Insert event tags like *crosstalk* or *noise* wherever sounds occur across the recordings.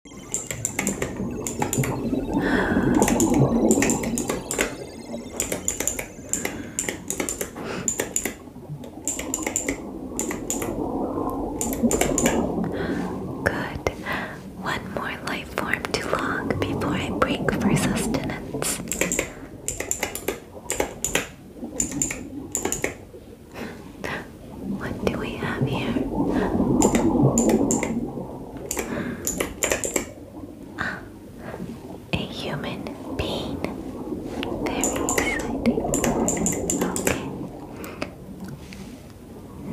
Good. One more life form long before I break for sustenance. What do we have here? Ah, a human being. Very exciting. Okay.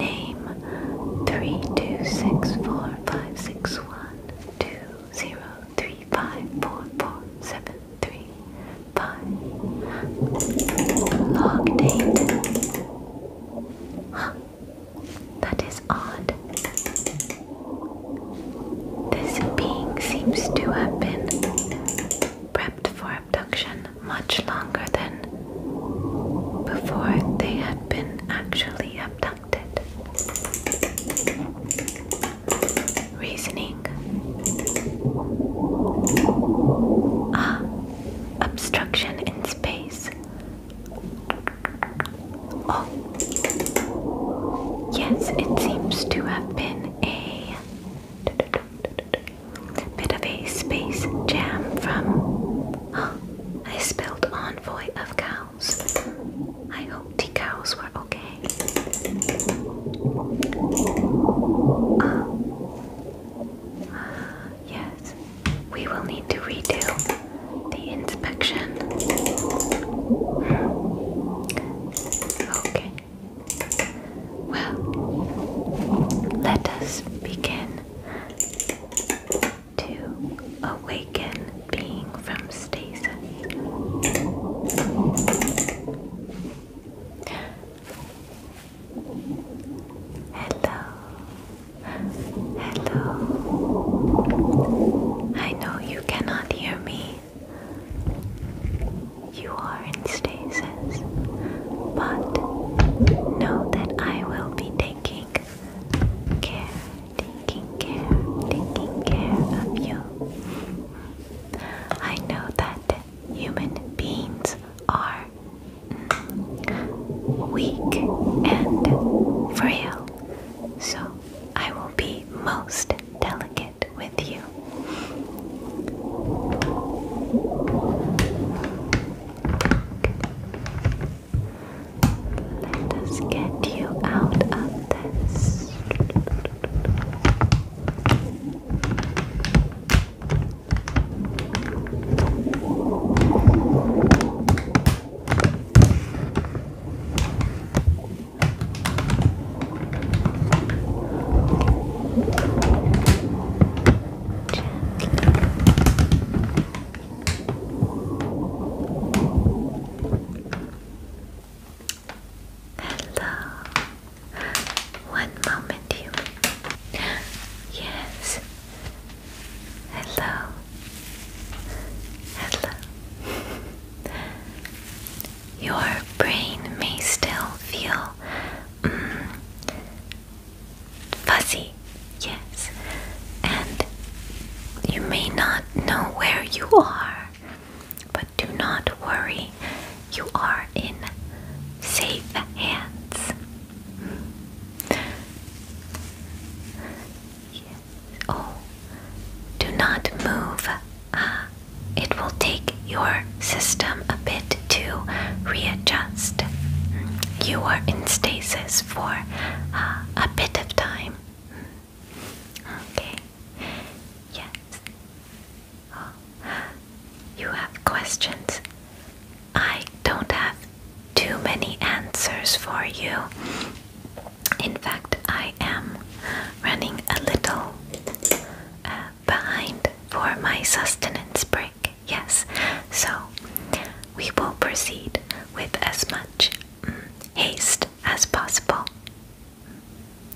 Name three two six four five six one two zero three five four four seven three five. Log date Huh. *gasps* That is odd. This being seems to have been prepped for abduction much longer than before they had been actually abducted. Reasoning Ah, obstruction in Oh. yes, it seems to have been a bit of a space jam from. a *gasps* spilt envoy of cows. I hope the cows were okay. Ah. Ah, yes, we will need to redo the inspection. Okay. Well, let us begin to awaken being from stasis. Hello. Hello. I know you cannot hear me. You are in stasis, but know that I will be taking care, taking care, taking care of you. I know that human beings are weak and frail, so I will be most delicate with you. Let us get you out of this. Hello. One moment, you. Yes, Hello. Hello. Your brain may still feel mm, fuzzy, yes, and you may not know where you are, but do not worry, you are in safe hands. Oh, do not move. Uh, it will take your system a bit to readjust. You are in stasis for ah, a bit of time. Okay. Yes. Oh, you have questions. I don't have too many answers for you. In fact, I am running a little uh, behind for my sustenance break. Yes, so we will proceed with as much mm, haste as possible.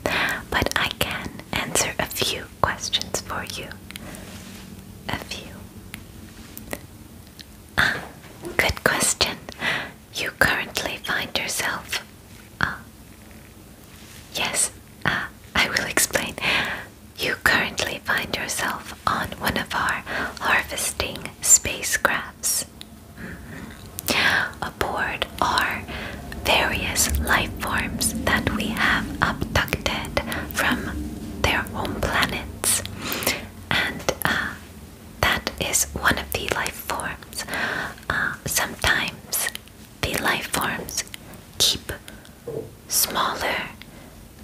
But I can answer a few questions for you. A few. Ah, good question. You currently find yourself. Uh, yes, uh, I will explain. You currently find yourself on one of our harvesting spacecrafts. Mm Aboard are various life forms that we have abducted from their own planet and uh, that is one of the life forms. Uh, sometimes the life forms keep smaller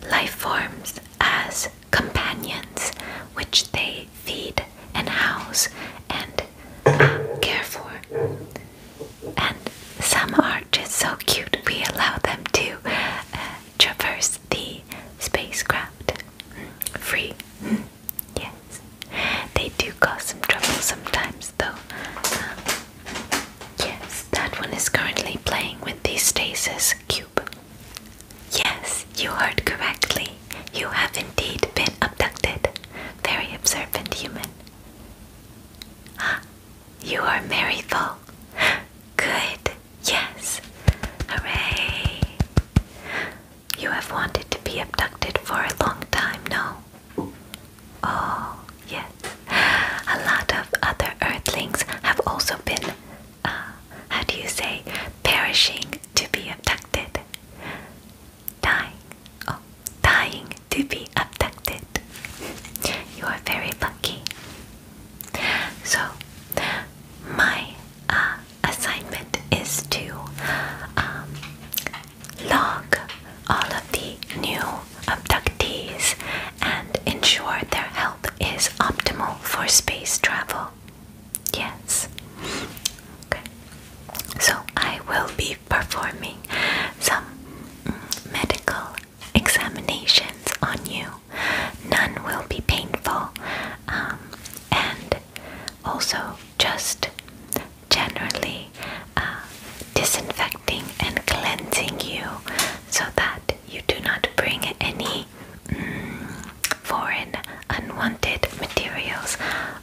life forms as companions, which they feed and house and care for. And some are just so cute, we allow them to uh, traverse the spacecraft free. Yes, they do cause some trouble sometimes, though. Um, yes, that one is currently playing with the stasis cube. Yes, you heard correctly. You have indeed been abducted. Very observant human. Ah, you are Maryfall. Good. Yes! Hooray! You have wanted to be abducted for a long time, no? Oh, yes. A lot of other earthlings have also been, uh, how do you say, perishing to be abducted. Dying. Oh, dying to be abducted. You are very lucky. So, my uh, assignment is to um, log all of the new abductees and ensure their health is optimal for space travel. Yes. Okay. So, I will be performing some mm, medical examinations on you. None will be painful. Um, and also just generally uh, disinfecting and cleansing you so that you do not bring any mm, foreign unwanted materials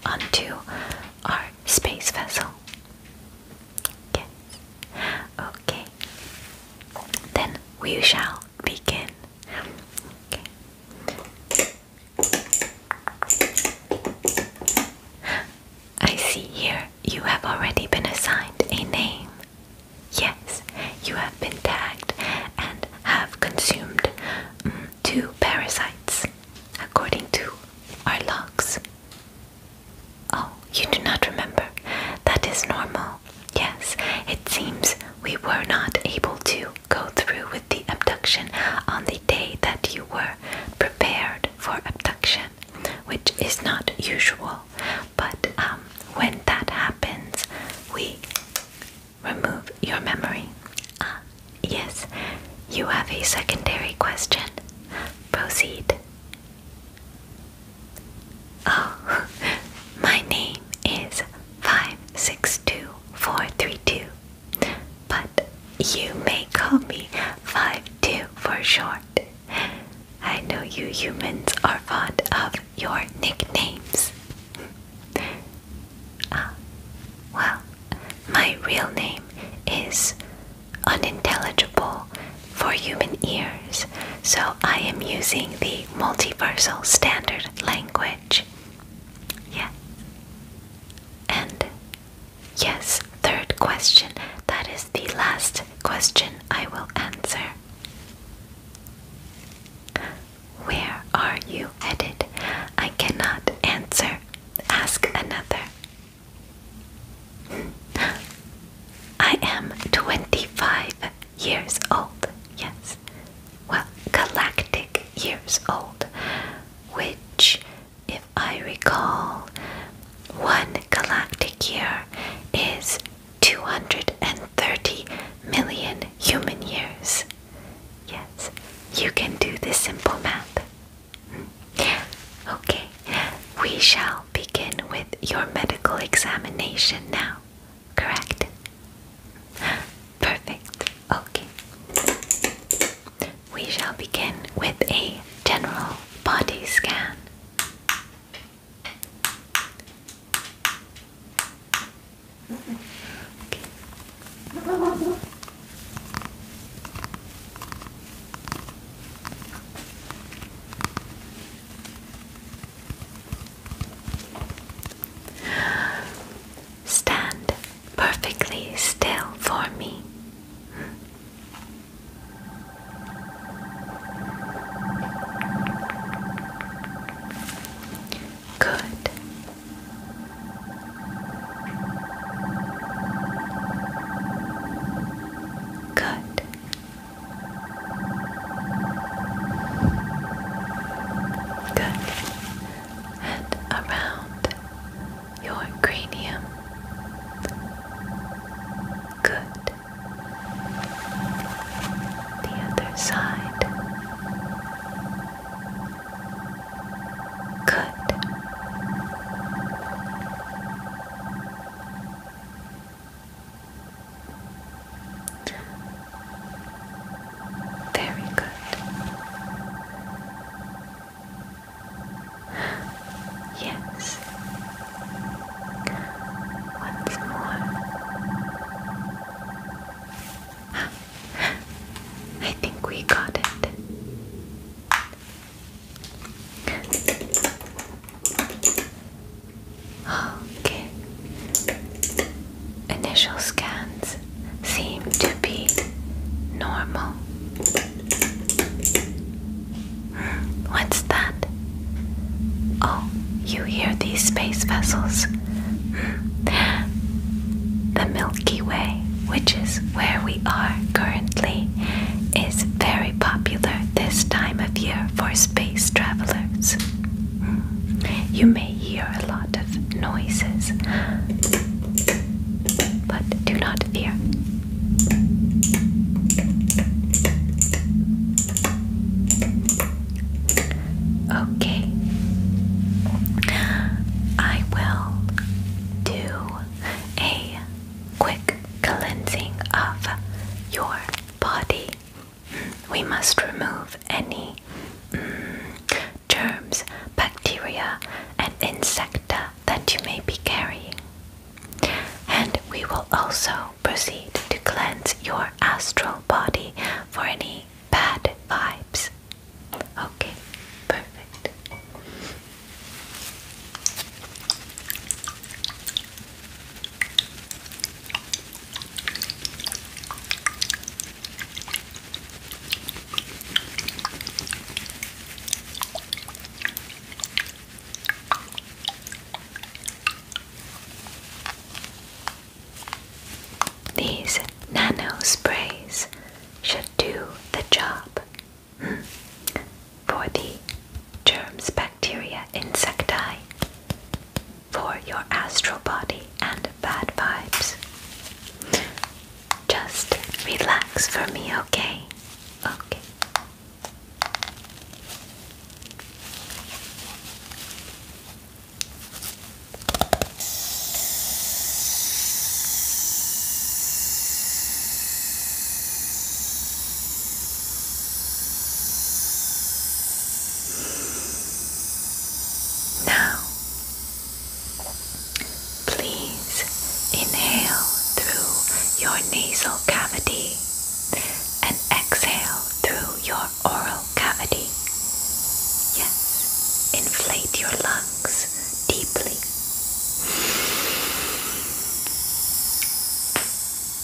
onto our space vessel. Okay, then we shall begin. I see here you have already been assigned a name. Yes, you have been tagged and have consumed mm, two parasites according to our logs. Oh, you do not remember. That is normal. Yes, it seems we were not able to go through with the abduction on the day that you were prepared for abduction, which is not usual. But um, when that happens, we remove your memory. Ah, yes, you have a secondary question. Proceed. Oh, *laughs* my name is 562432, but you may call me 52 for short. I know you humans are fond of your nicknames. *laughs* Ah, well, my real name is Unintelligible for human ears, so I am using the multiversal standard language. Yeah. And yes, third question. That is the last question I will answer. Where are you headed? I cannot answer. Ask another. I am 25 years old, yes. Well, galactic years old, which, if I recall, one galactic year is 230 million human years. Yes, you can do the simple math. Hmm? Okay, we shall begin with your medical examination now, correct? Perfect. Okay. We shall begin with a general body scan. Stand perfectly still for me. Good. Good. Good. And around your cranium. Good. The other side. Good. Very good. Yes. Once more. *gasps* I think we got it. Okay. Initial scans seem to be normal. What's that? Oh, you hear these space vessels? The Milky Way, which is where we are currently, is very popular this time of year for space travelers. You may hear a lot of noises, but do not fear. Okay, I will do a quick cleansing of your body we must remove any mm, germs, bacteria, and insecta that you may be carrying. And we will also proceed to cleanse your astral body for any bad vibes. Okay, perfect. These nano sprays should do the job hmm. for the germ spectrum bacteria insecti for your astral body and bad vibes. Just relax for me, okay? Okay. Now, please inhale through your nasal cavity and exhale through your oral cavity. Yes, inflate your lungs deeply.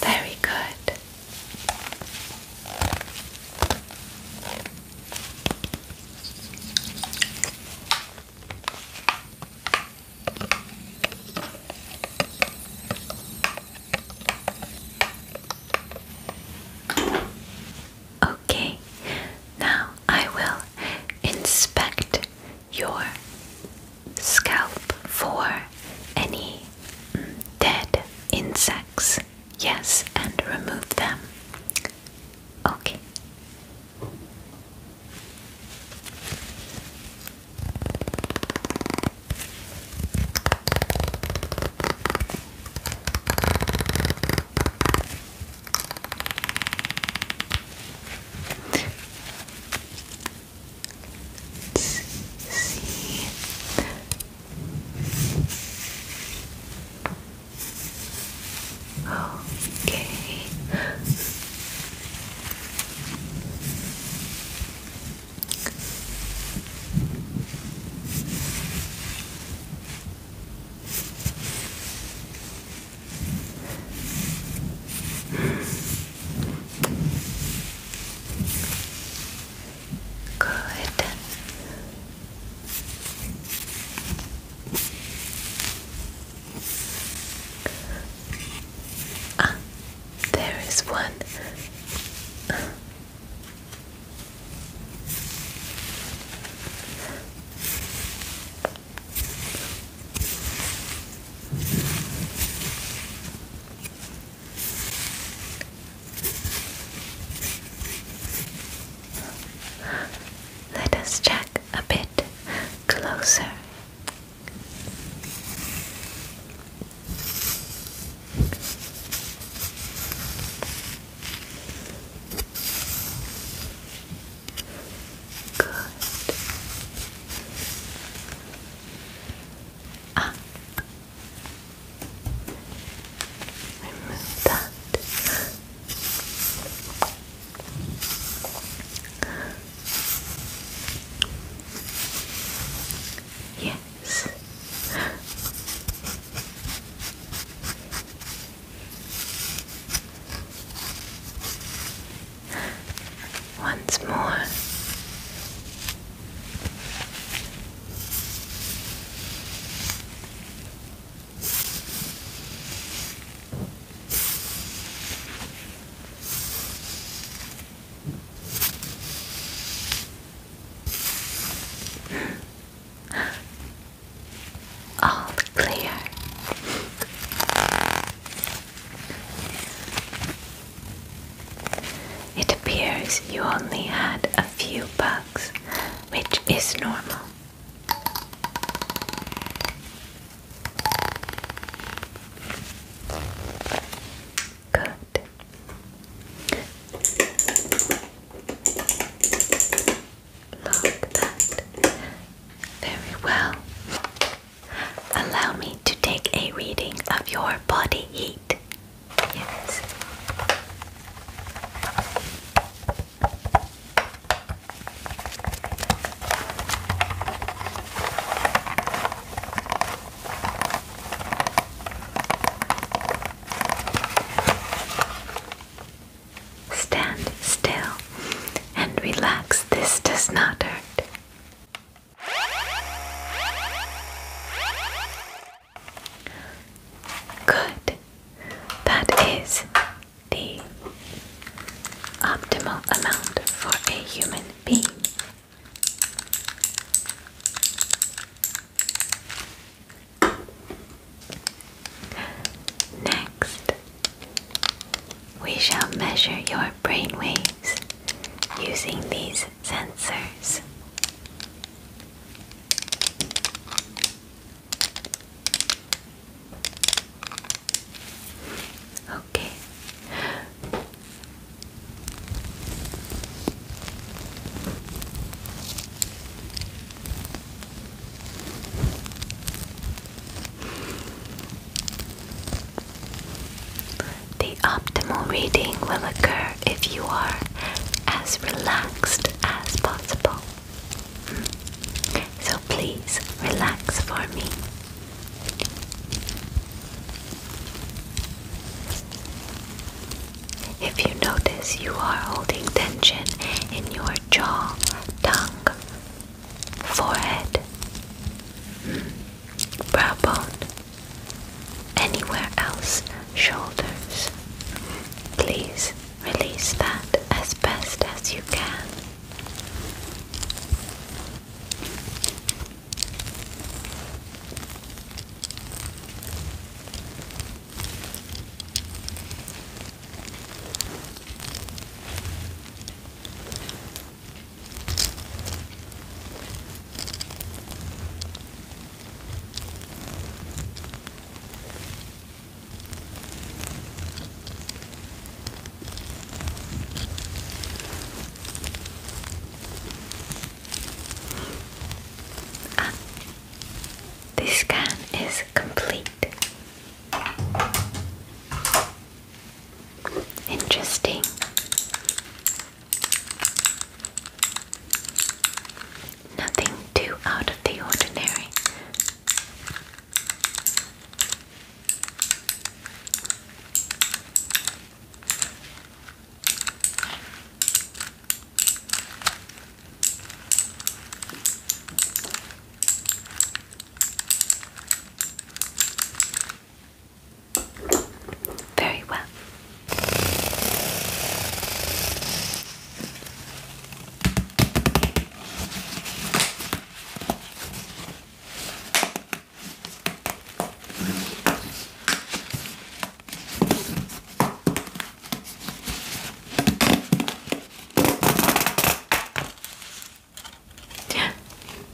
Very good. Okay, now I will inspect your scalp for any mm, dead insects. Yes, and remove them. Okay. Let's see. Okay. Good. Ah, there is one. Let us check a bit closer. Good up. Remove that. Yes once more. Hmm. All clear. It appears you only had a few bugs, which is normal. Good. Lock that very well. Allow me to take a reading of your body heat. Yes. Stand still and relax. This does not hurt. Good. That is the optimal amount for a human being. Next, we shall measure your brain waves using these sensors. Okay. The optimal reading will occur if you are as relaxed as possible. So please relax for me. If you notice you are holding tension in your jaw, tongue, forehead, brow bone, anywhere else, shoulders. Please release that as best as you can this scan is complete. Interesting. Nothing too out of the ordinary. Very well.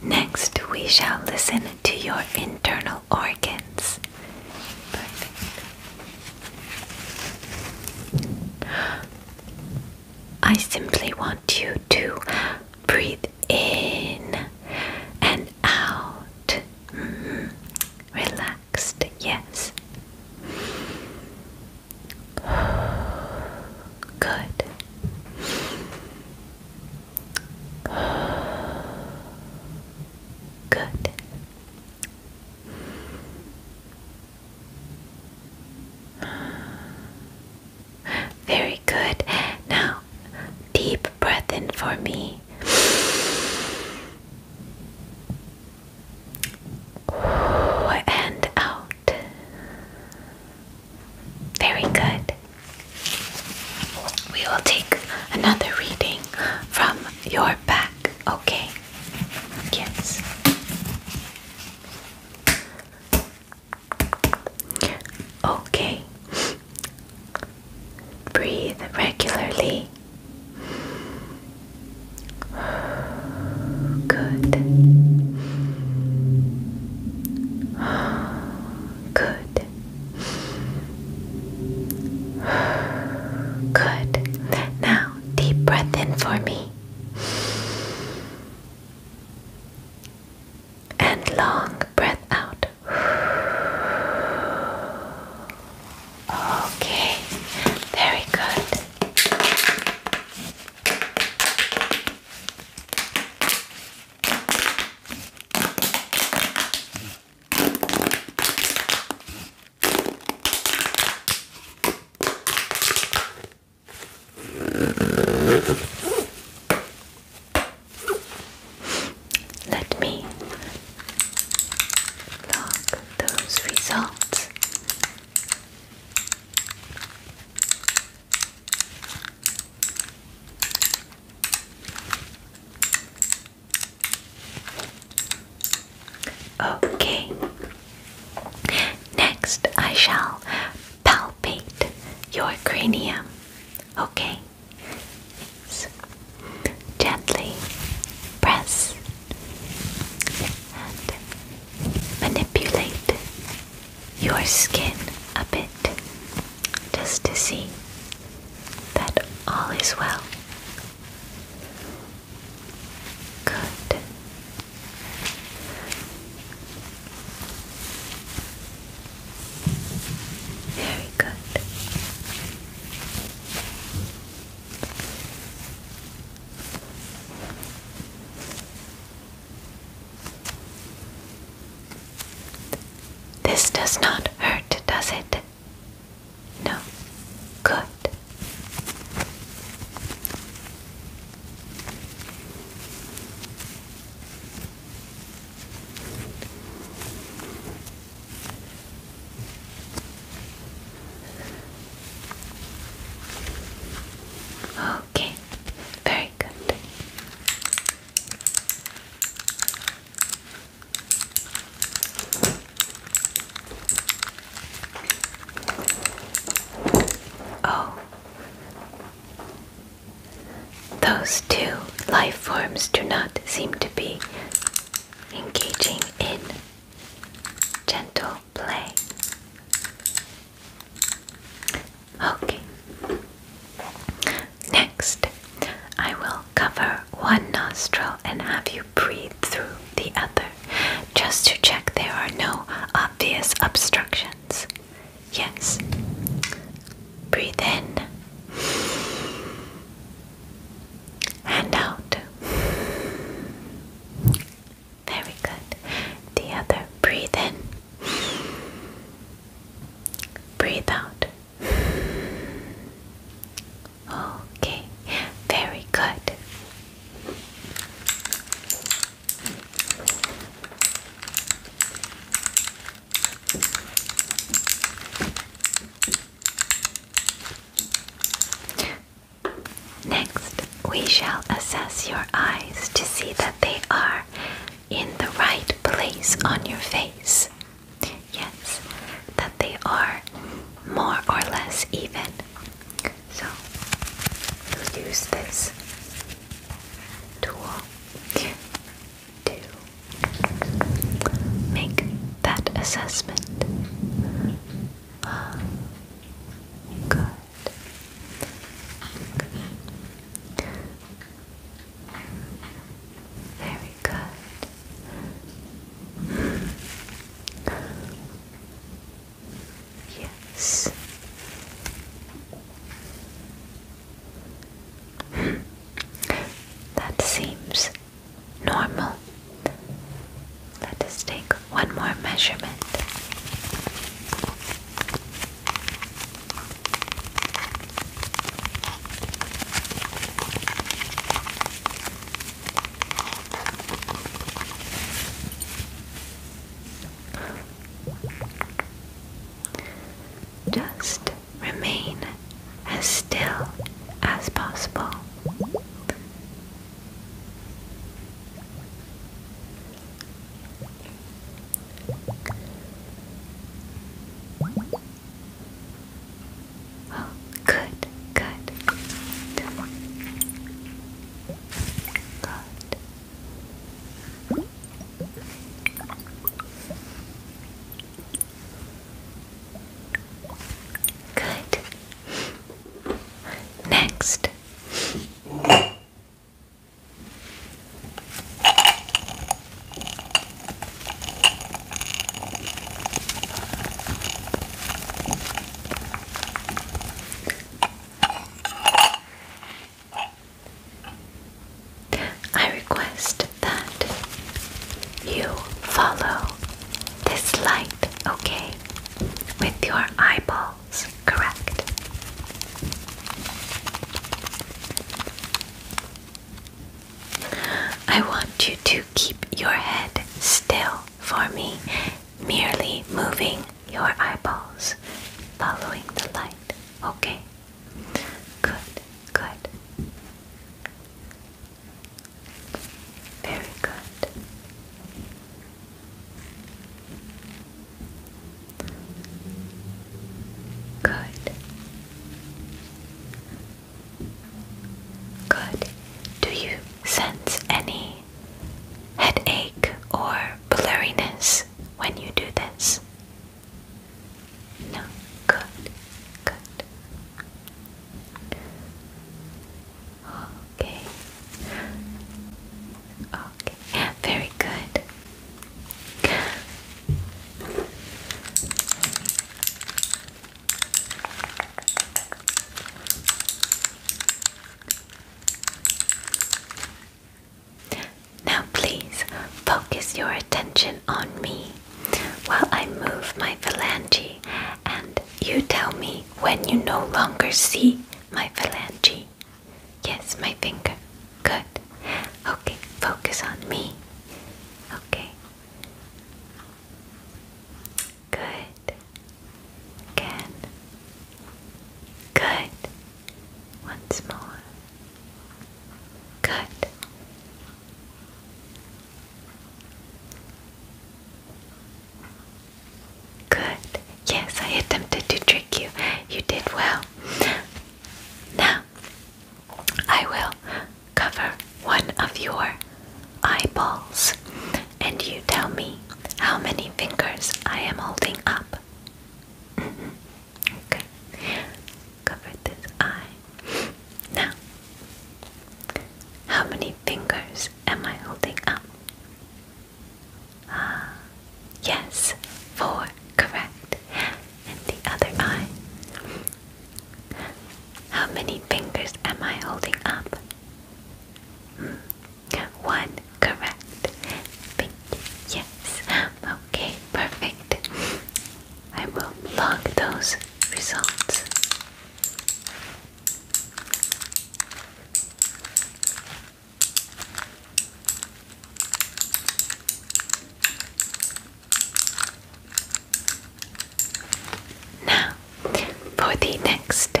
Next, we shall listen to your internal organs. I simply want you to breathe in and out. Mm-hmm. Relaxed, yes. Good. Good. Very good. Now, deep breath in for me. And out. Very good. We will take another reading from your back, okay? Yes. Okay. Breathe regularly. Good. Good. *sighs* Good. Now, deep breath in for me. And long breath out. *sighs* Okay, very good. Let me log those results. Okay. Next, I shall palpate your cranium. Okay. gently press and manipulate your skin a bit just to see that all is well. Good. Very good. This does not hurt, does it? No. Good. Okay, very good. Oh, those two life forms do not seem to be engaging in gentle play. Okay. Next, I will cover one nostril and have you breathe through the other just to check there are no obvious obstructions. Yes. Breathe in and out. Very good. The other. Breathe in. Breathe out. Okay, very good. Next, we shall assess your eyes to see that they are in the right place on your face. Yes, that they are more or less even. So we'll use this tool to make that assessment. Oh, good. Very good. Yes. that seems normal. Let us take one more measurement. Just remain as still as possible. Oh, good, good. Good. Good. Next. I request that you follow this light, okay, with your eyeballs, correct? I want you to keep your head still for me, merely moving your eyeballs, following the light. Okay? Good, good. Very good. Good. Good. Do you sense any headache or blurriness when you do this? No. Good. Good. Okay. Okay. Very good. Now, please focus your attention on me while I move my phalange, and you tell me when you no longer see my phalange. Yes, my finger. Good. Okay, focus on me. Okay. Good. Again. Good. Once more. Good. Good. Yes, I attempted to trick you. You did well. Now, I will cover one of your eyeballs, and you tell me how many fingers I am holding up. Mm-hmm. Okay, cover this eye. Now, how many fingers am I holding up? Ah, yes, four, correct and the other eye. How many fingers am I holding up? Hmm. One, correct. yes. Okay, perfect. I will log those results. Now, for the next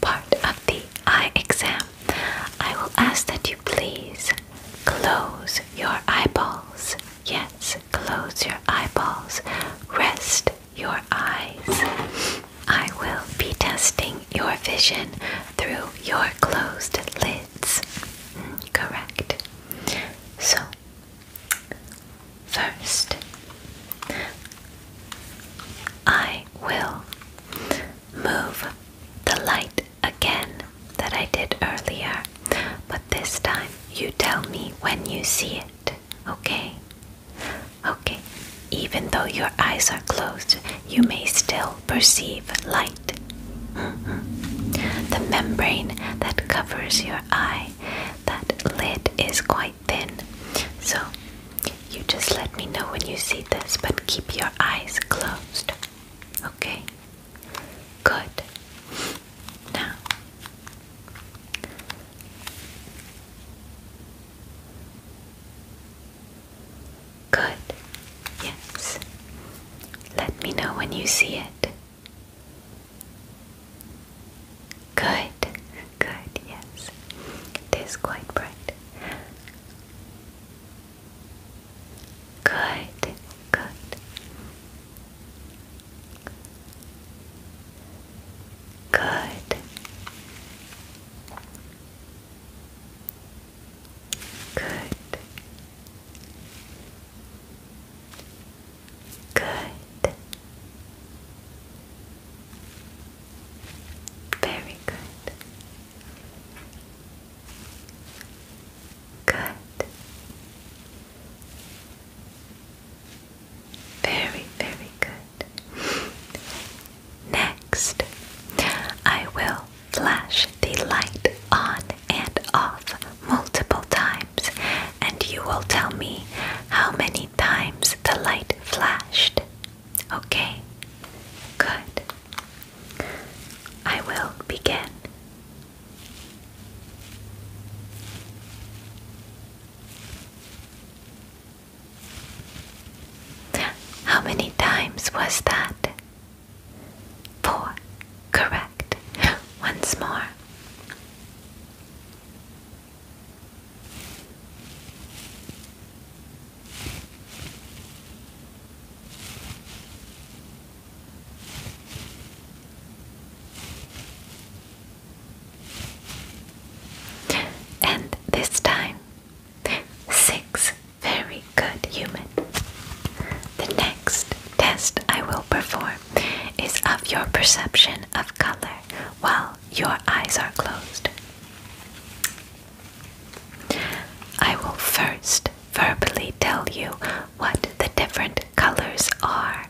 part of the eye exam, I will ask that you please close your eyeballs. Yes, close your eyeballs. Rest your eyes. I will be testing your vision through your closed lids. Hmm, correct. So, first, I will move the light again that I did earlier, but this time you tell me when you see it, okay? Okay, even though your eyes are closed, you may still perceive light the membrane that covers your eye, that lid is quite thin. So you just let me know when you see this, but keep your eyes closed. Okay? Good. Now. Good. Yes. Let me know when you see it. Good, good, yes. It is quite bright. Good, good. Good. Good. Good. Very good. Good. Very, very good. Next, I will flash the light on and off multiple times, and you will tell me how many times the light flashed. Okay? Good. I will begin. How many times was that? Four. Correct. Once more. And this time, six very good human the next test I will perform is of your perception of color while your eyes are closed. I will first verbally tell you what the different colors are,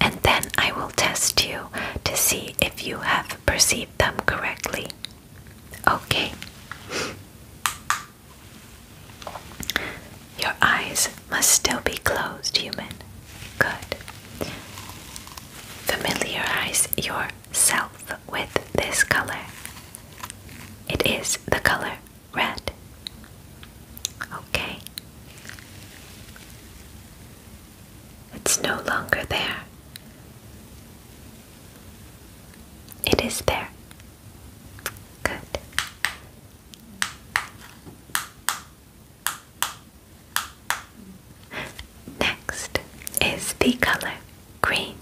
and then I will test you to see if you have perceived them correctly. Okay. Your eyes must still be closed, human. Good. Familiarize yourself with this color. It is the color red. Okay. It's no longer there. It is there. Good. Next is the color green.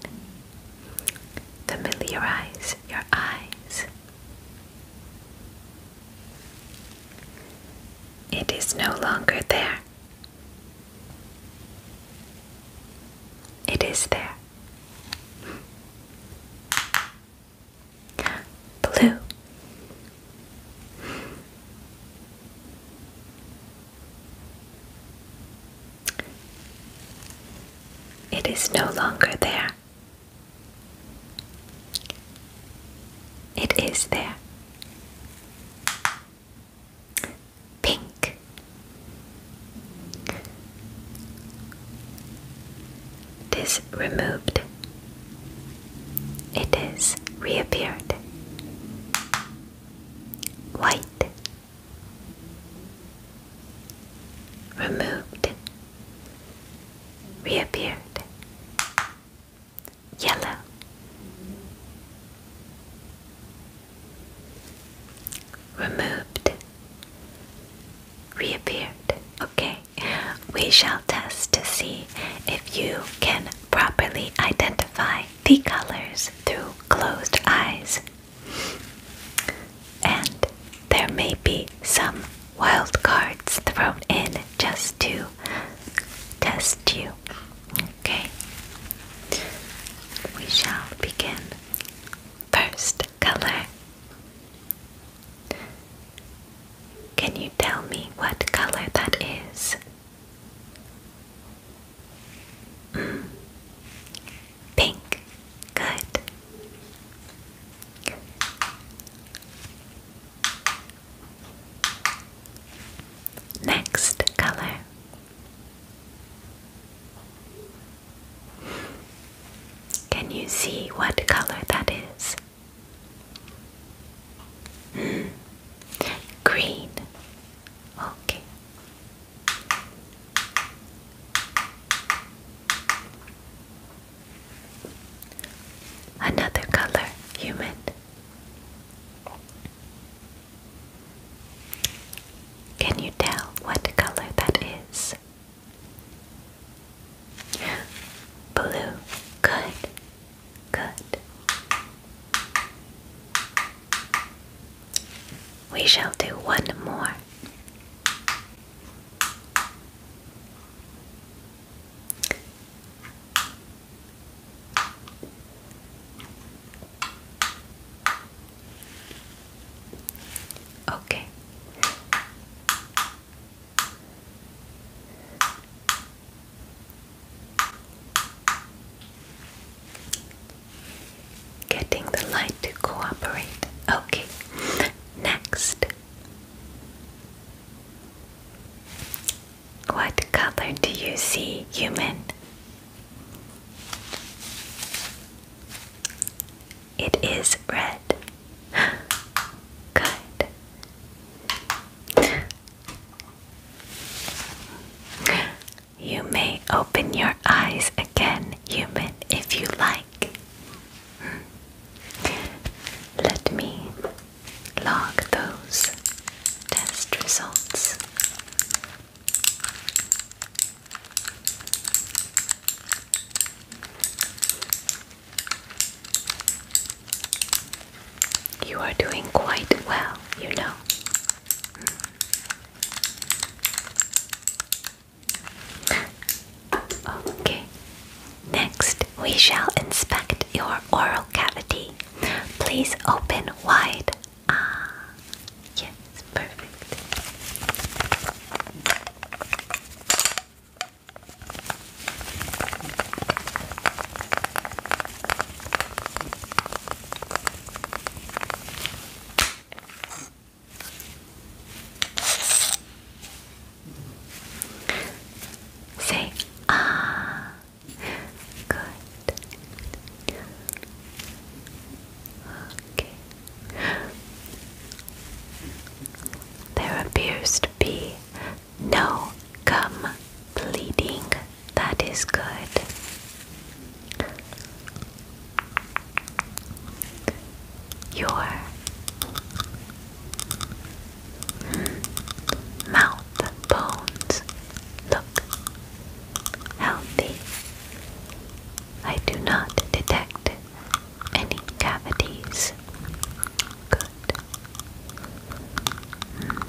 Familiarize your eyes. It is no longer there. It is there blue it is no longer there it is there pink it is removed. It is reappeared. White. Removed. Reappeared. Yellow. Removed reappeared. Okay, we shall test to see if you can properly identify the colors through closed eyes. And there may be some wild cards thrown in just to test you. Okay, we shall begin. First color can you tell me what color that is? Mm. Pink. Good. Next color. Can you see what color that is? Hmm. Green. Okay. Another color, human. Can you tell what color that is? Blue. Good. Good. We shall do one more. Okay. Getting the light to cooperate. Okay, next. What color do you see, human? It is red. *gasps* Good. You may open your eyes again, human, if you like. Let me log those test results. You are doing quite well, you know. Okay. Next, we shall inspect your oral cavity. Please open wide. Ah, yes, perfect. Say ah, good. Okay there appears to be no gum bleeding. That is good. Your mouth bones look healthy. I do not detect any cavities? Good. Hmm.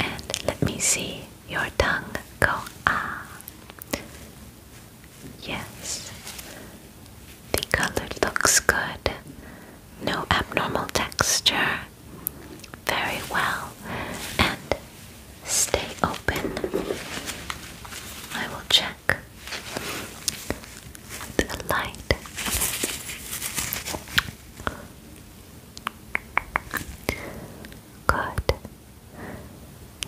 And let me see your tongue go ah. Yes. The color looks good. No abnormal texture. Very well. And stay open. I will check the light. Good.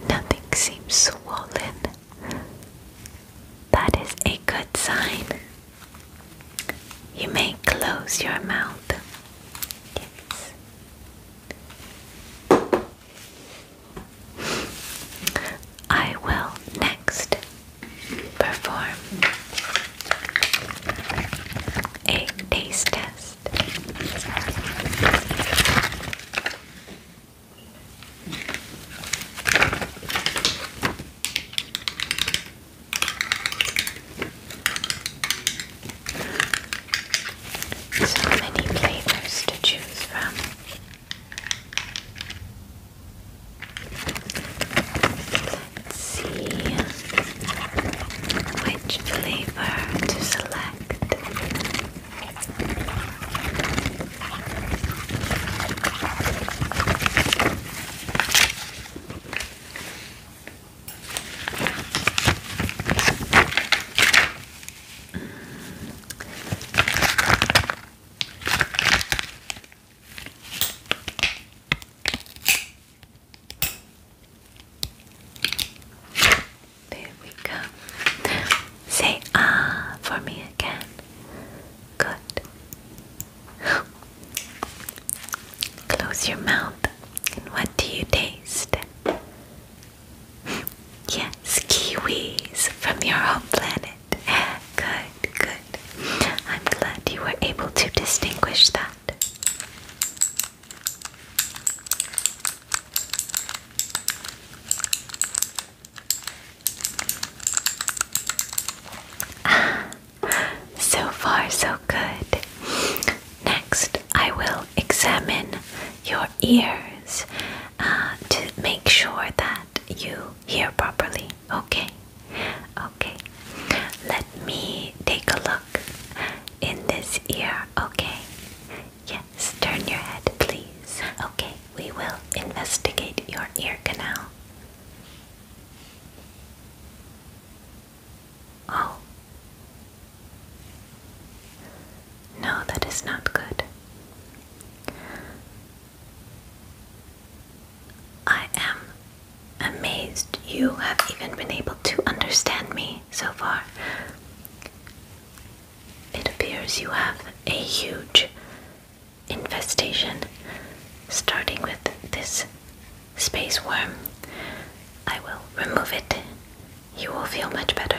Nothing seems swollen. That is a good sign. You may close your mouth. Yes. I will next perform a taste test. So many flavors to choose from. Let's see which flavor to select. There we go. Say ah for me again. Good. Close your mouth. And what do you taste? Yes, kiwis from your home planet. *laughs* Good, good. I'm glad you were able to distinguish that. Ah, *laughs* so far, so good. Next, I will examine your ears uh, to make sure that you hear properly. Okay, okay. Let me take a look in this ear. Okay, yes, turn your head, please. Okay, we will investigate your ear canal. Oh. No, that is not good. I am amazed you have even been able to understand me so far. It appears you have a huge infestation, starting with this space worm. I will remove it. You will feel much better.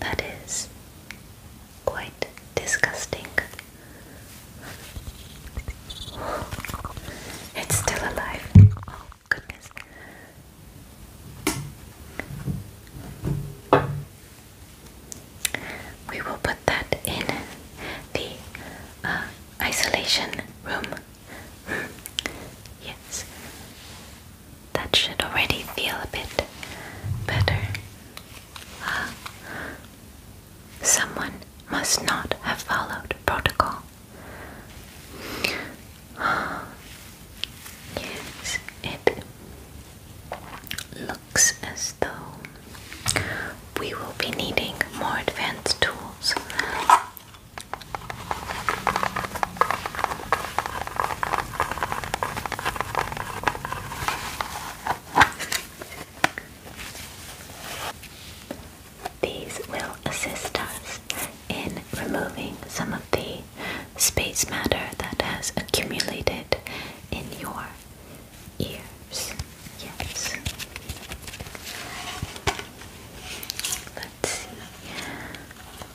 that is quite disgusting. It's still alive. Oh, goodness. We will put that in the uh, isolation room *laughs* yes, that should already feel a bit better. Uh, someone must not have followed protocol. *gasps* yes, it looks as though we will be needing more advanced tools these will assist us in removing some of the space matter that has accumulated in your ears. Yes let's see.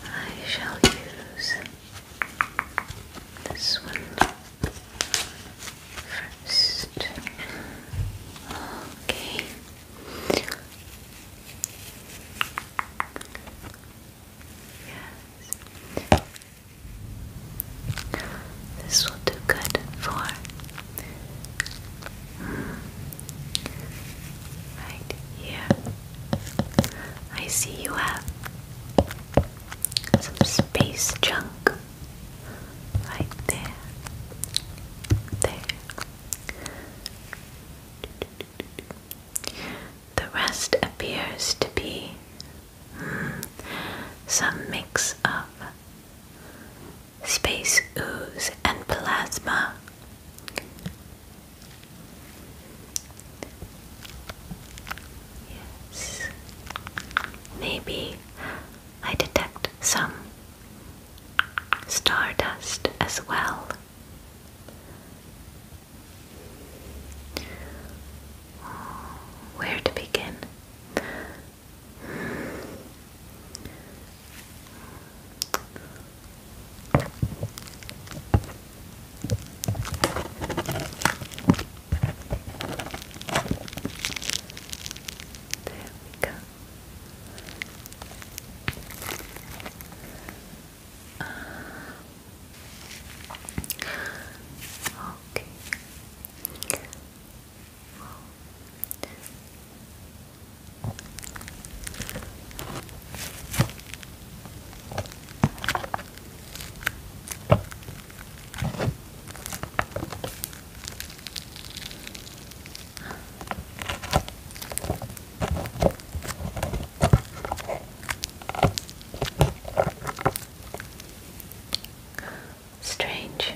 I shall use this one first. Okay. Yes. This will do good for Right here. I see you have some space junk right there. There. The rest appears to be hmm, some mix of space ooze, and plasma. Yes. Maybe I detect some stardust as well. Where to begin? There we go. Uh, okay. Strange.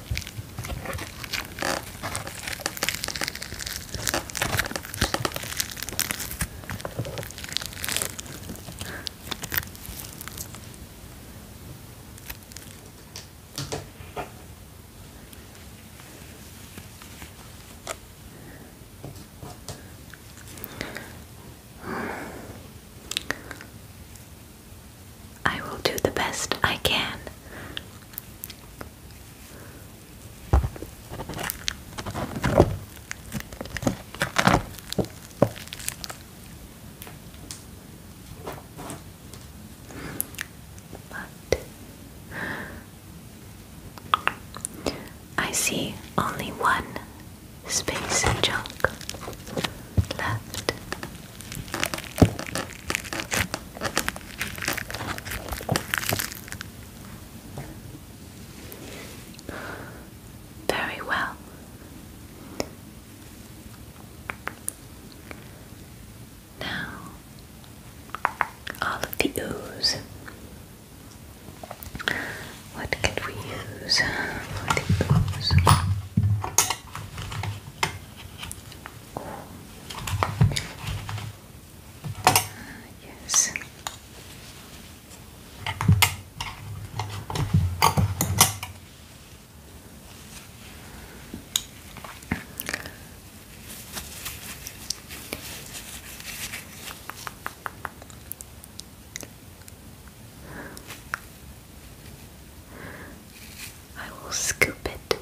I will do the best I can. But I see only one space junk left. Very well. Now, all of the ooze. What could we use for the ooze? yes. I will scoop it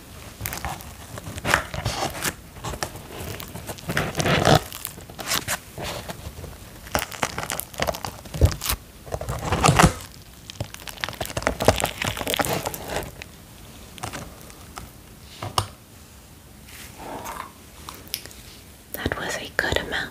That was a good amount.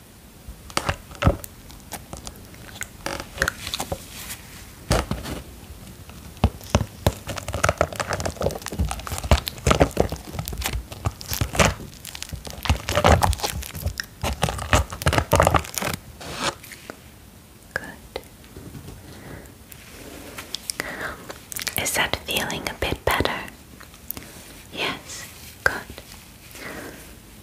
Good. Is that feeling a bit better? Yes, good.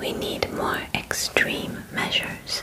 We need more extreme measures.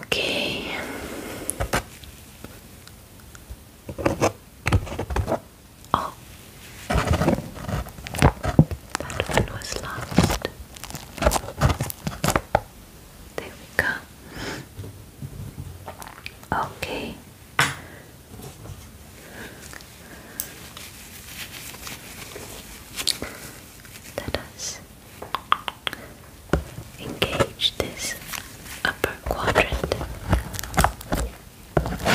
Okay. Oh. That one was lost. There we go. Okay. Let us engage this upper quadrant. Oh my.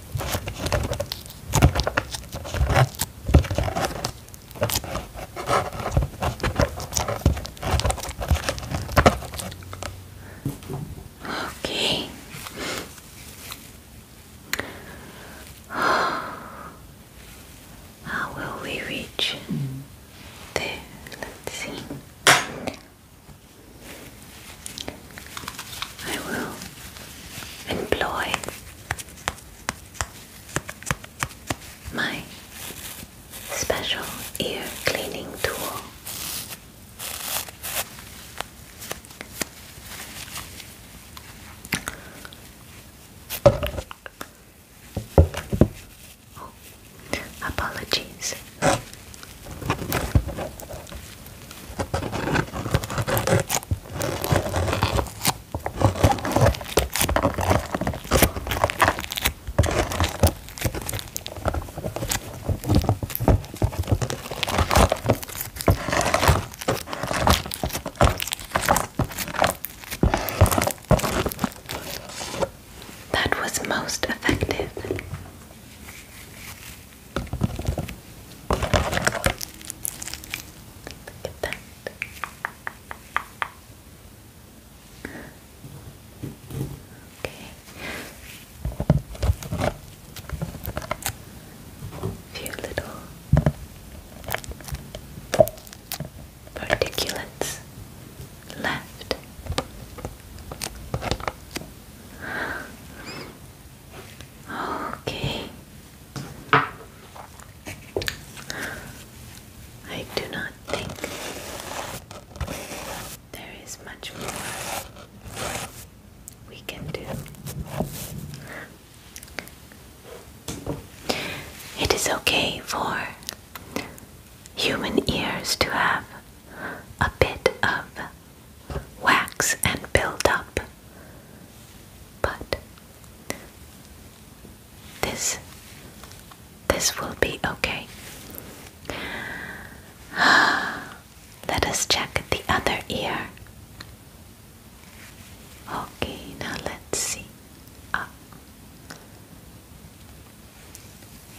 Okay. How will we reach there? Let's see. I will employ my special ear cleaning tool. Oh, apologies. That was most effective. Look at that. Okay. few little particulates left. Okay. I do not think there is much more we can do. It is okay for human ears to have a bit of wax and build up. But this this will be okay. *sighs* Let us check the other ear. Okay, now let's see. Ah.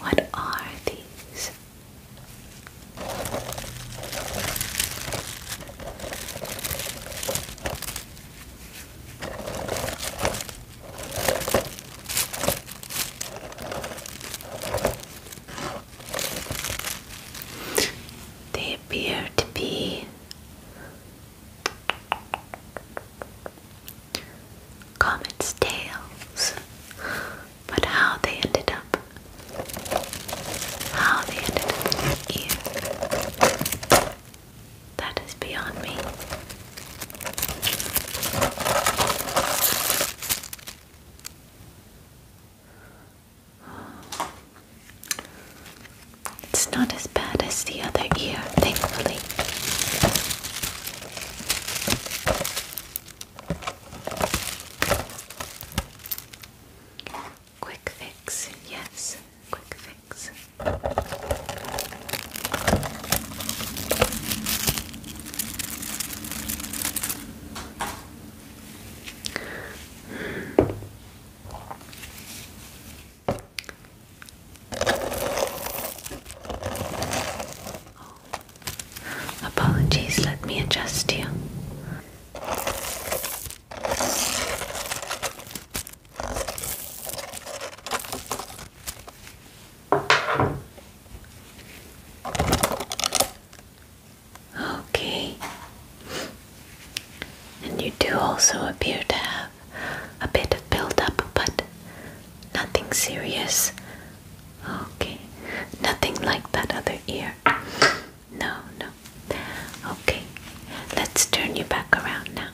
what are these? They appear to be comet's tails, but how they ended up how they ended up in that is beyond me. It's not as bad as the other ear, thankfully. Quick fix, yes, quick fix. Oh. Apologies, let me adjust you. Okay. And you do also appear to have a bit of buildup, but nothing serious. Okay. Nothing like that other ear. No, no. Okay, let's turn you back around now.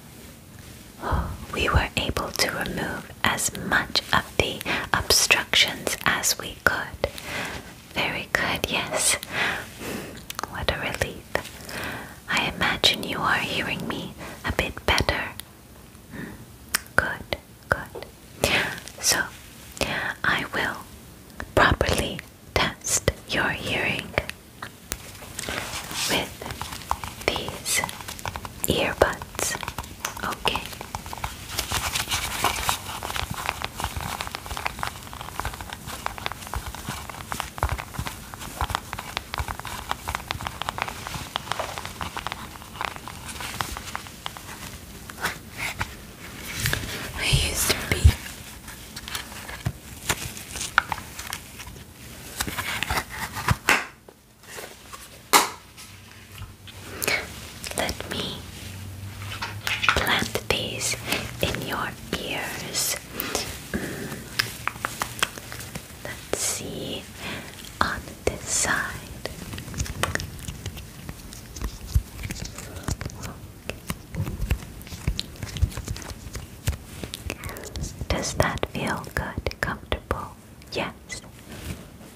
we were able to remove as much of the obstructions as we could. Very good, yes. What a relief. I imagine you are hearing me a bit better. Good, good. So, I will properly test your hearing with these earbuds, okay? I used to be. Let me plant these in your ears. Mm. Let's see on this side. Does that feel good, comfortable? Yes.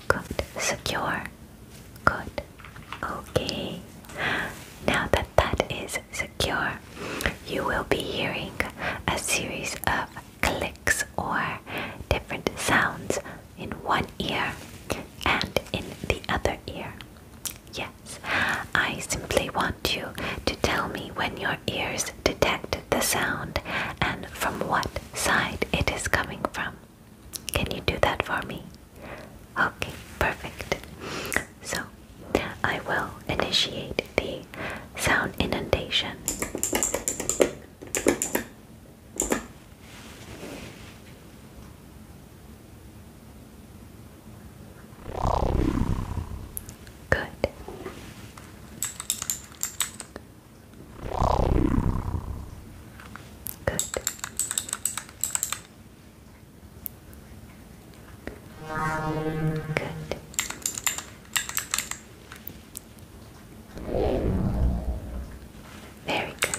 Good. Secure. Good. Okay. Now that that is secure, you will be hearing a series of clicks or different sounds in one ear and in the other ear. Yes. I simply want you to tell me when your ears detect the sound and from what side it is coming from. Can you do that for me? Okay, perfect. So, I will initiate the sound inundation. Good. Good. Good. Very good.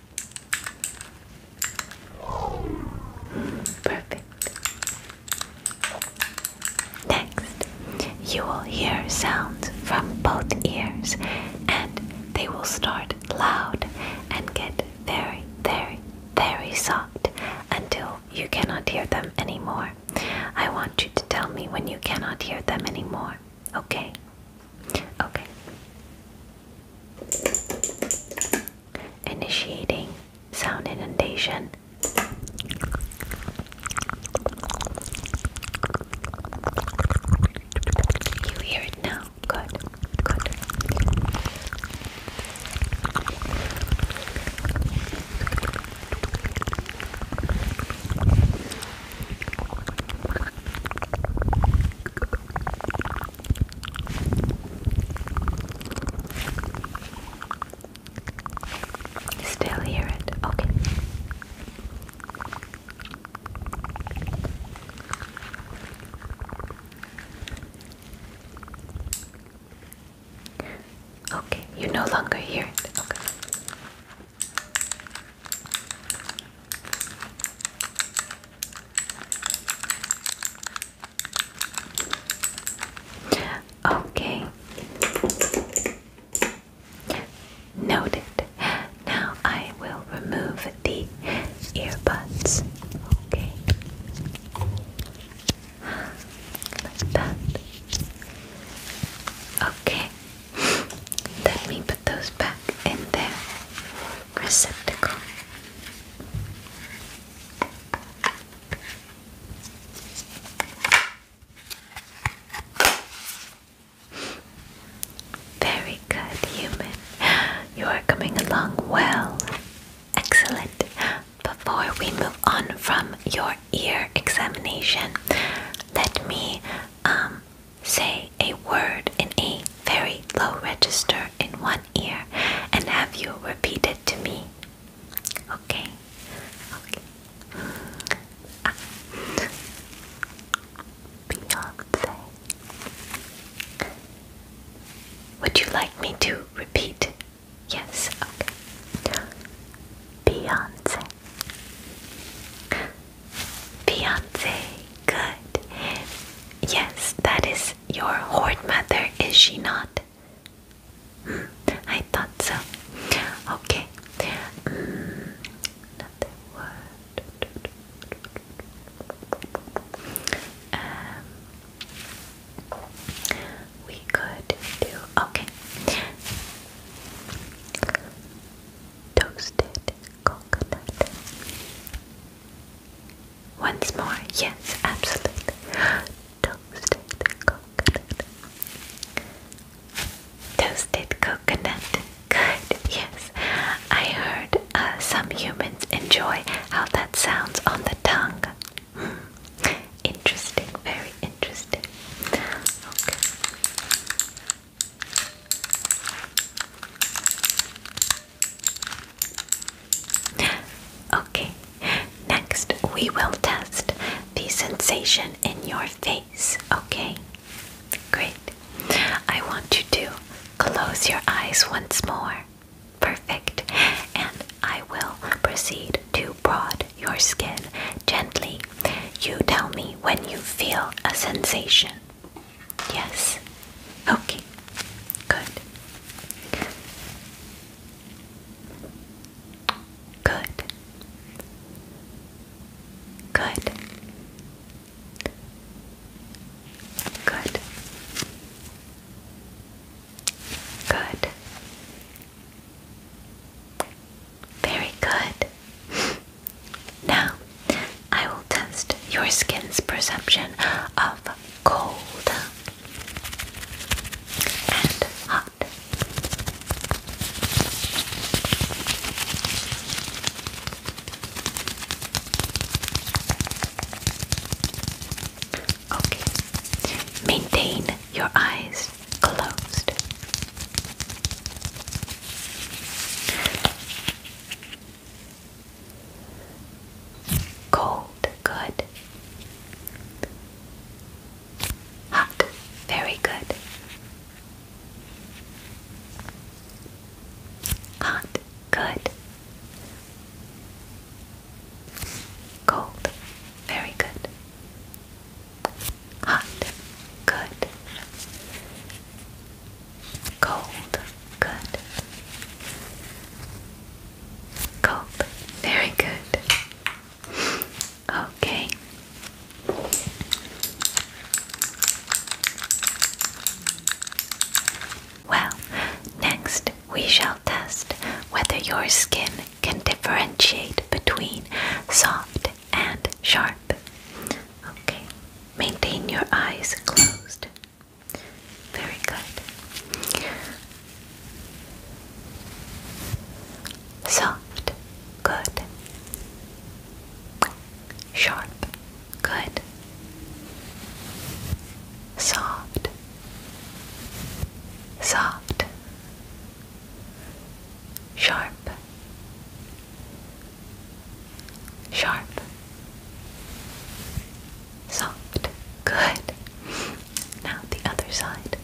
Perfect. Next, you will hear sounds from both ears and they will start loud and get very, very, very soft until you cannot hear them anymore. I want you to tell me when you cannot hear them anymore. Okay? Okay initiating sound inundation. You hear it now? Good, good. Still hear it. Okay. Okay, you no longer hear it. Okay. Okay. Noted. Now I will remove the earbuds. Okay. Like that. Okay. Let me put those back in there receptacle. Very good, human. You are coming along well. Excellent. Before we move on from your ear examination, let me um, say a word in a very low register in one ear and have you repeat it to me. Okay. Okay. Ah. Beyonce. Would you like me to repeat? Yes, okay. Beyonce. Beyonce, good. Yes, that is your Horde Mother, is she not? Hmm, I thought so. Okay. Hmm, um, we could do okay. Toasted coconut. Once more, yes, absolutely. Toasted coconut. Toasted coconut. Good, yes. I heard uh, some humans enjoy how that sounds on the tongue. Hmm. Interesting, very interesting. Okay, next we will test the sensation in your face. Okay, great. I want you to close your eyes once more. Perfect. And I will proceed to prod your skin gently. You tell me when you feel a sensation. Yes. Okay. Good. Good. Good. Good. Good. Very good. Now, I will test your skin's perception of cold and hot. Okay, maintain your eyes closed. Cold, good. Hot, very good. Hot, good. Cold, very good. Hot, good. Cold, Good. Cope. Very good. Okay. Well, next we shall test whether your skin can differentiate between soft and sharp. Okay, maintain your eyes closed. Very good. Soft, good. Sharp, good. Soft, soft, sharp, sharp. Soft. Good. Now the other side.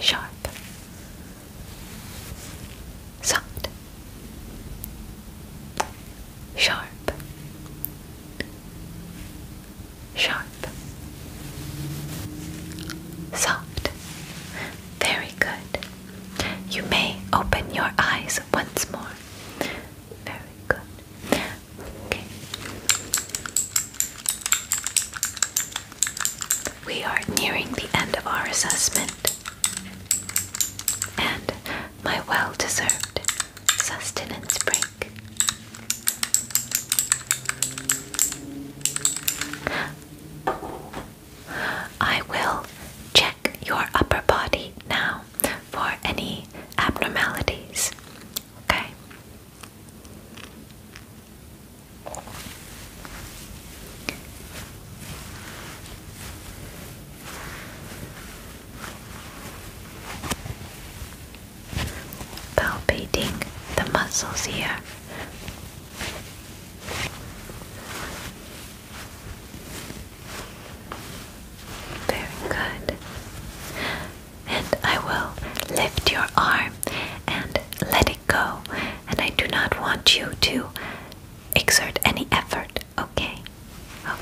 Sharp. Soft. Sharp. Sharp. Soft. Very good. You may open your eyes once more. Very good. Okay. We are nearing the end of our assessment. And my well deserved sustenance break. I will check your upper body now for any abnormalities. Okay? Palpating the muscles here. Very good. And I will lift your arm and let it go. And I do not want you to exert any effort, okay? Okay.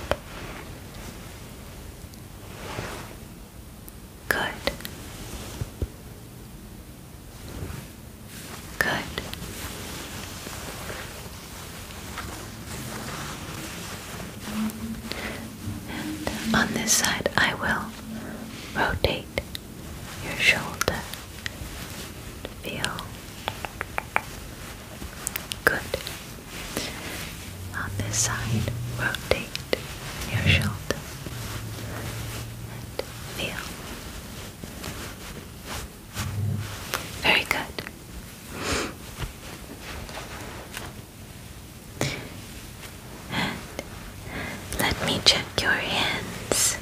Good. Good on this side, I will rotate your shoulder. Feel good. On this side, rotate your shoulder and feel very good. let me check your hands.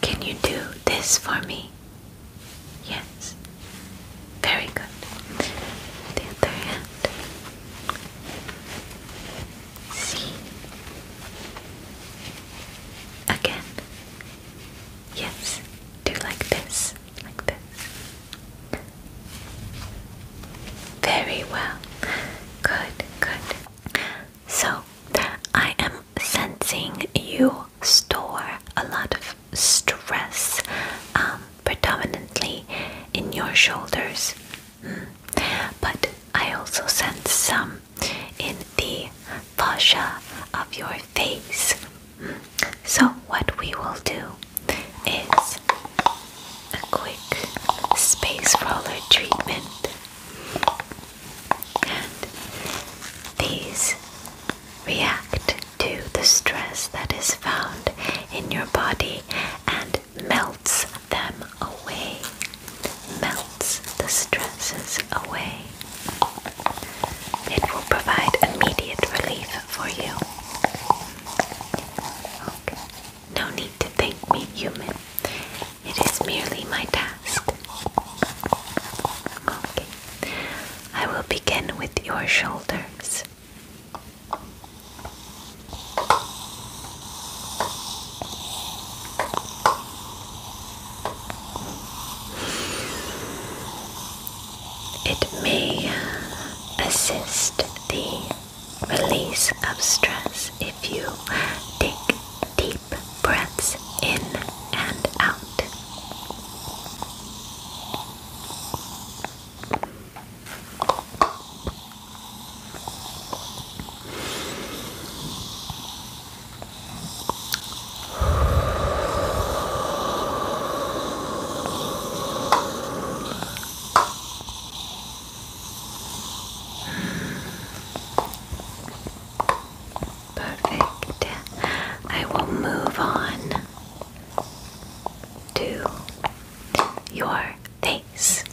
Can you do this for me? Yes. Very good. The other hand. See? Again. Yes. Do like this. Like this. Very well. Good, good. So, I am sensing you store a lot of stress um, predominantly in your shoulders. But I also sense some in the fascia of your face. So, what we will do is a quick space roller treatment. these react to the stress that is found in your body and melts them away, melts the stresses away. It will provide immediate relief for you. No need to thank me, human. It is merely my task. Okay. I will begin with your shoulders. It may assist the release of stress if you take deep breaths in and out. Perfect. I will move on to your face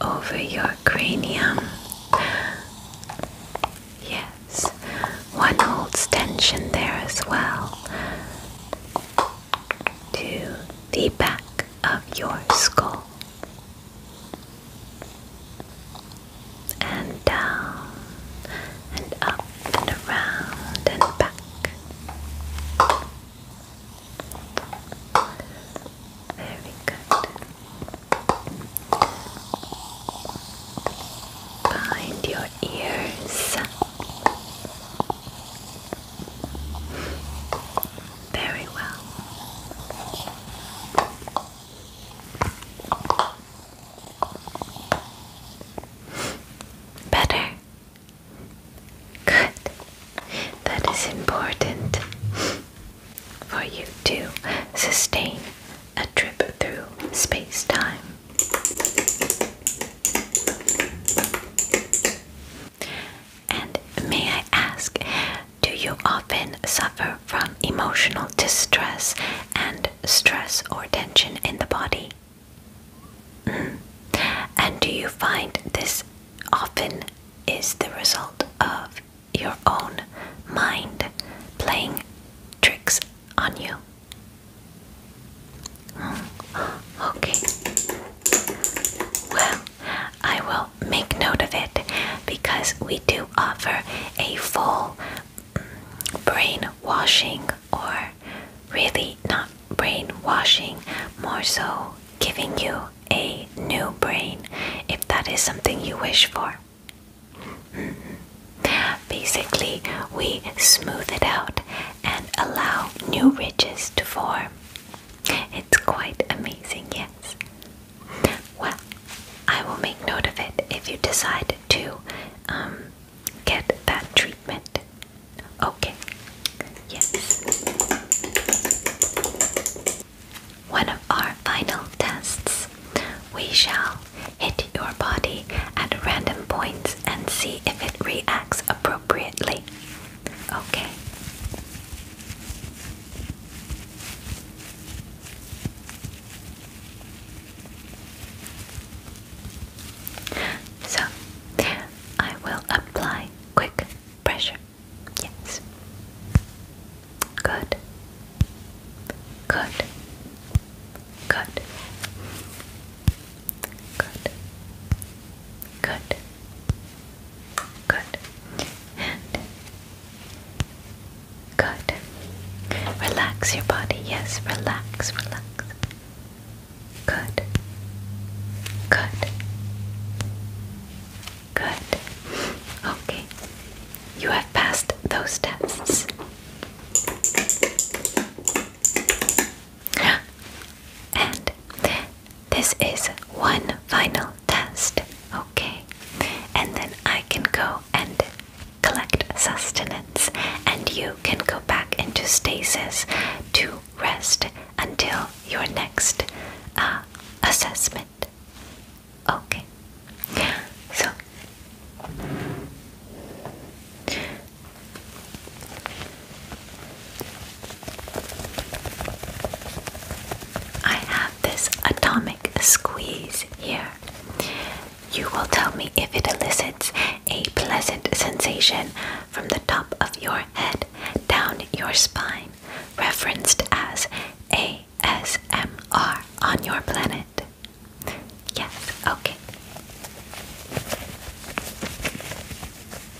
over your cranium. Yes, one holds tension there as well to the back of your skull and down and up and around and back. Very good. Find your ears. Very well. Better. Good. That is important for you to sustain a trip through space time. And may I ask, do you often suffer from emotional distress and stress or tension in the body? Mm. And do you find this often is the result of your own mind playing tricks on you? Mm. Okay. Well, I will make note of it because we do offer a full brainwashing, or really not brainwashing, more so giving you a new brain if that is something you wish for. Mm-hmm. Basically, we smooth it out and allow new ridges to form. It's quite amazing, yes. Well, I will make note of it if you decide to um, get that treatment. Okay, yes. One of our final tests. We shall hit your body at random points and see if it reacts appropriately. Okay. So, I will apply quick pressure. Yes. Good. Good. Good. Good. Good. Good. good. Relax your body. Yes, relax, relax. Good. Good. Good. Okay. You have passed those tests. And this is one final test, okay? And then I can go and collect sustenance, and you can go back into stasis to rest until your next uh, assessment. Okay, so I have this atomic squeeze here. You will tell me if it elicits a pleasant sensation from the top of your head down your spine, referenced as ASMR on your planet. Yes, okay.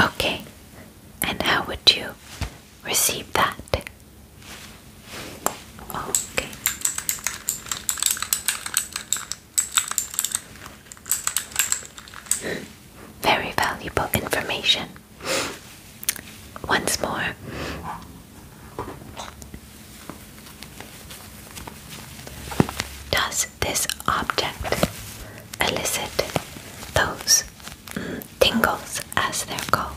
Okay, and how would you receive that? Okay. Very valuable information. Once more. Does this object elicit those mm, tingles, as they're called?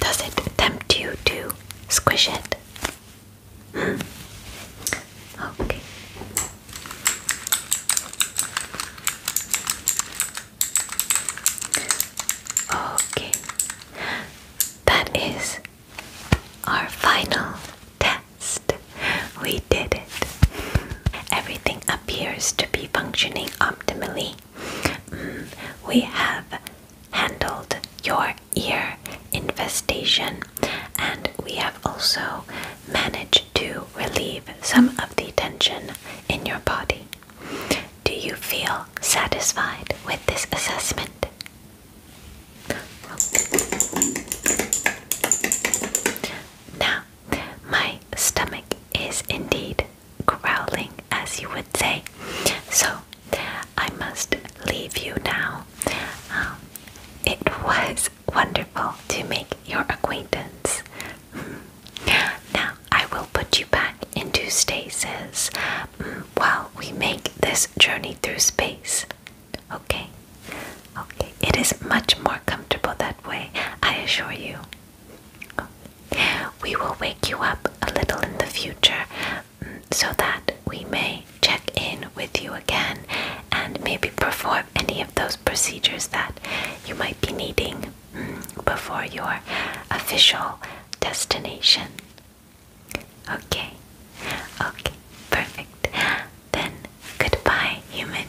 Does it tempt you to squish it? Hmm. Okay. Okay, that is our final test. We did it. Everything appears to be functioning optimally. Mm, we have handled your ear infestation and we have also managed to relieve some of the tension in your body. Do you feel satisfied with this assessment? Now, my stomach is indeed growling, as you would say, so I must leave you now. Um, it was wonderful to make your acquaintance. *laughs* Now, I will put you back into stasis mm, while we make this journey through space. Okay? Okay, it is much more comfortable that way, I assure you. We will wake you up a little in the future mm, so that we may check in with you again and maybe perform any of those procedures that you might be needing mm, before your official destination. Okay, okay, perfect. Then goodbye, human.